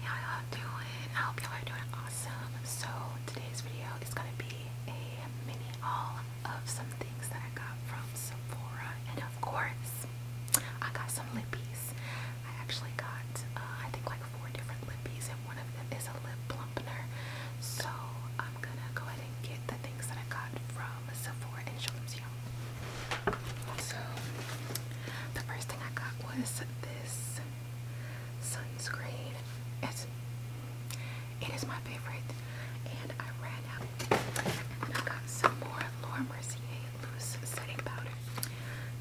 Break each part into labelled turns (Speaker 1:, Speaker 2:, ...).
Speaker 1: How y'all doing? I hope y'all are doing awesome. So today's video is gonna be a mini haul of some things that I got from Sephora, and of course, I got some lippies. I actually got, uh, I think, like four different lippies, and one of them is a lip plumper. So I'm gonna go ahead and get the things that I got from Sephora and show them to y'all. So the first thing I got was this this sunscreen. It's my favorite, and I ran out. And I got some more Laura Mercier loose setting powder,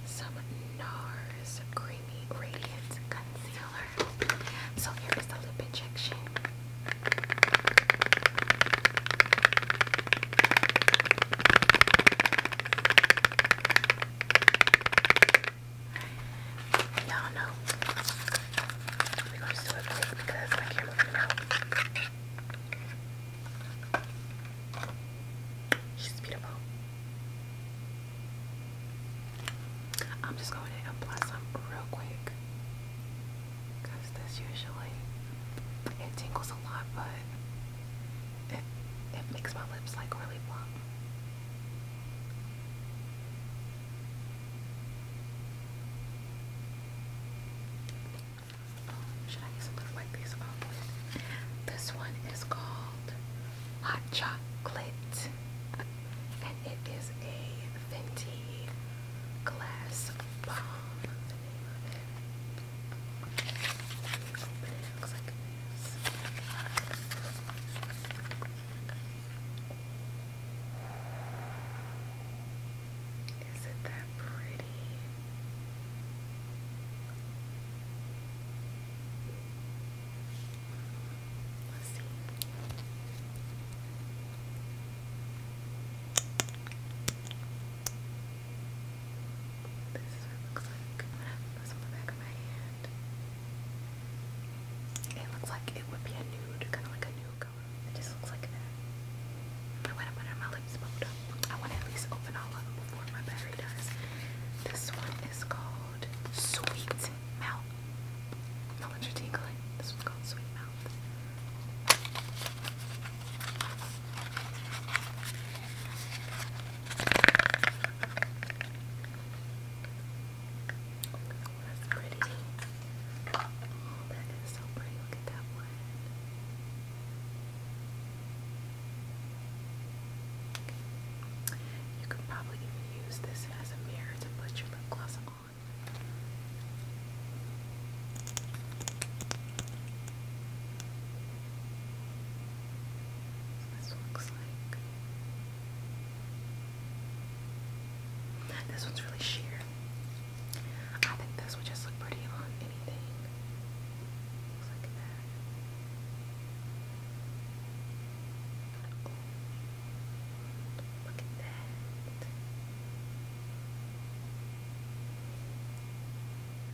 Speaker 1: some NARS creamy radiant concealer. So here is the lip injection. Y'all know we're gonna do it because my camera's running She's beautiful. I'm just going to apply some real quick because this usually it tingles a lot, but it, makes my lips like really plump. Oh, should I use a these off um, This one is called Hot Chocolate, and it is a Fenty Glass Bomb Open it, Is it that pretty? Let's see. This it looks like. It would be a nude, kind of like a nude color. It just looks like I want to put on my lips, but I want to at least open all of them before my battery dies. This one is called Sweet Mouth. No one's tingling. This one's called Sweet Mouth. That's pretty. Oh, that is so pretty. Look at that one. You could probably even use this as a mirror to put your lip gloss on. This looks like. This one's really sheer. I think this would just look pretty on anything. Looks like that. look at that.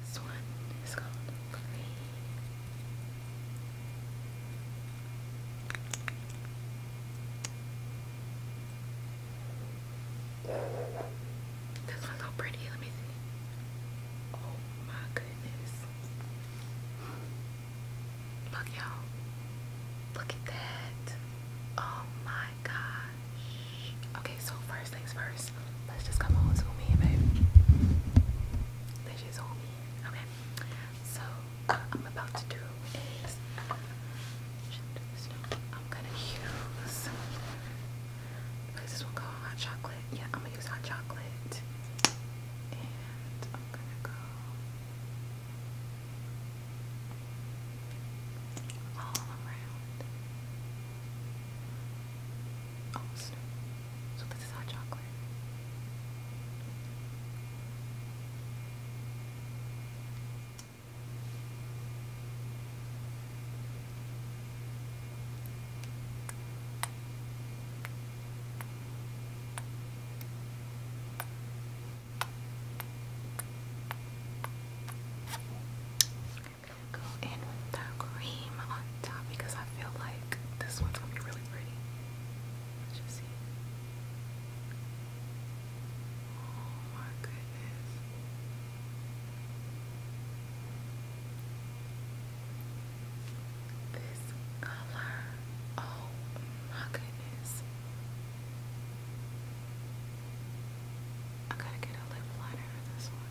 Speaker 1: This one is called This one's so pretty. Let me see. Oh my goodness. Look, y'all. Look at that. Oh my god. Okay, so first things first, let's just come on, zoom in, baby. Let's just zoom in. Okay. So what I'm about to do is I'm gonna use what is this one called? Hot chocolate. Yeah, I'm gonna use hot chocolate. And I'm gonna go all around. Almost. So this is hot chocolate go in with the cream on top because I feel like this one's gonna be really pretty. Let's just see. Oh my goodness. This color. Oh my goodness. I gotta get a lip liner for this one.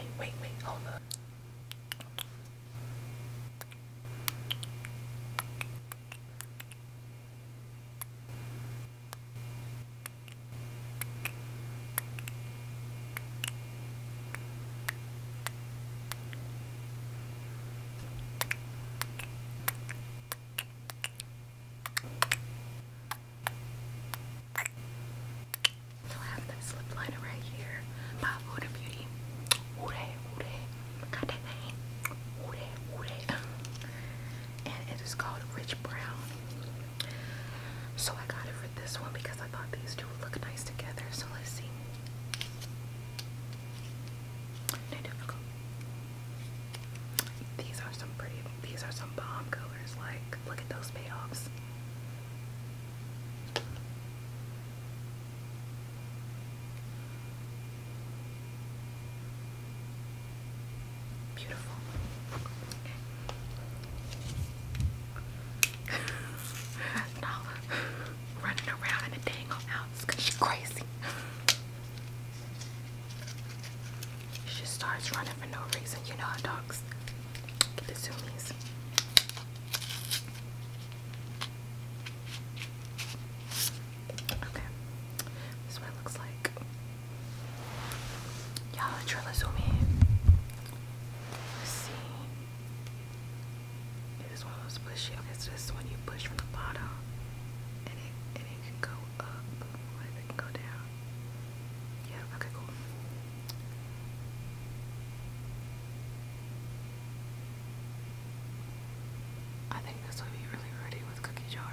Speaker 1: Wait, wait, wait, hold up. So I have this lip liner right here by Huda Beauty. Huda, Huda, got that name. Huda, Huda. And it is called Rich Brown so I got it for this one because I thought these two would look nice together. So let's see. No, difficult. These are some pretty, these are some bomb colors. Like, look at those payoffs. Beautiful. Okay. Nala running around in a dang old because she's crazy. She starts running for no reason. You know how dogs get the zoomies. Okay. This what it looks like. Yeah, let's try to zoom Let's see. It is one of those pushy. Okay, so this one you push from the bottom, and it and it can go up, or it can go down. Yeah. Okay. Cool. I think this would be really ready with cookie jar.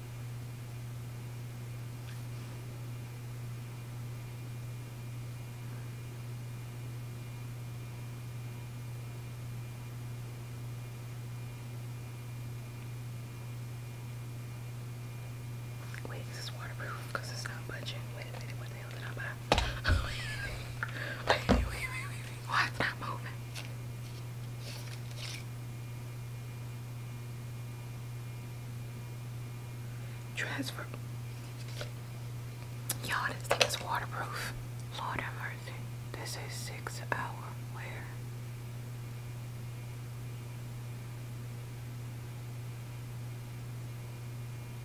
Speaker 1: Wait, this is waterproof because it's not budging. Wait a minute, what the hell did I buy? wait, wait, wait, wait, wait, why not moving? Transfer. you this thing is waterproof. Lord have mercy. This is six hour wear.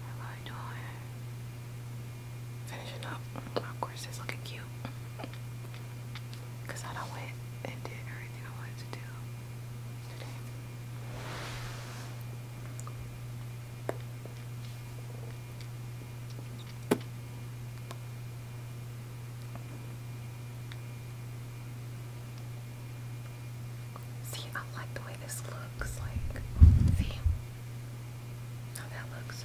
Speaker 1: Am I doing? Finishing up. Of course, it's looking cute. Because I don't went and did everything I wanted to do See, I like the way this looks. Like, see how that looks.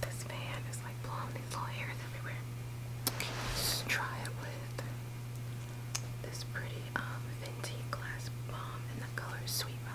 Speaker 1: this fan is like blowing these little hairs everywhere. Let's try it with this pretty um, Fenty Glass Bomb in the color Sweet Mouth.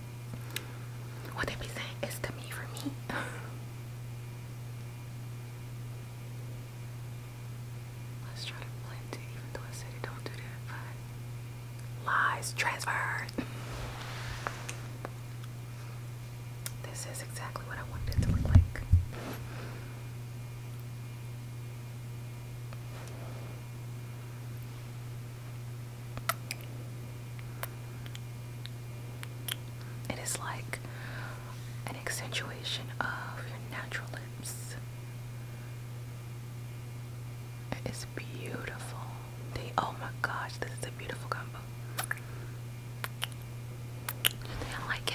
Speaker 1: What they be saying is to me for me. Let's try to blend it, even though I said don't do that, but lies transferred. This is exactly what I wanted it to look like. It is like an accentuation of your natural lips. It is beautiful. oh my gosh, this is a beautiful combo. I like it.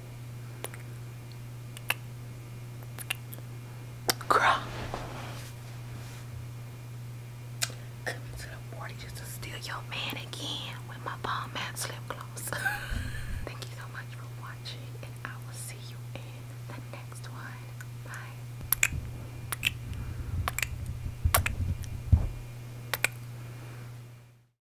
Speaker 1: Girl. Coming to the party just to steal your man again with my bomb ass lip gloss. Thank you so much for watching and I will see you in the next one. Bye.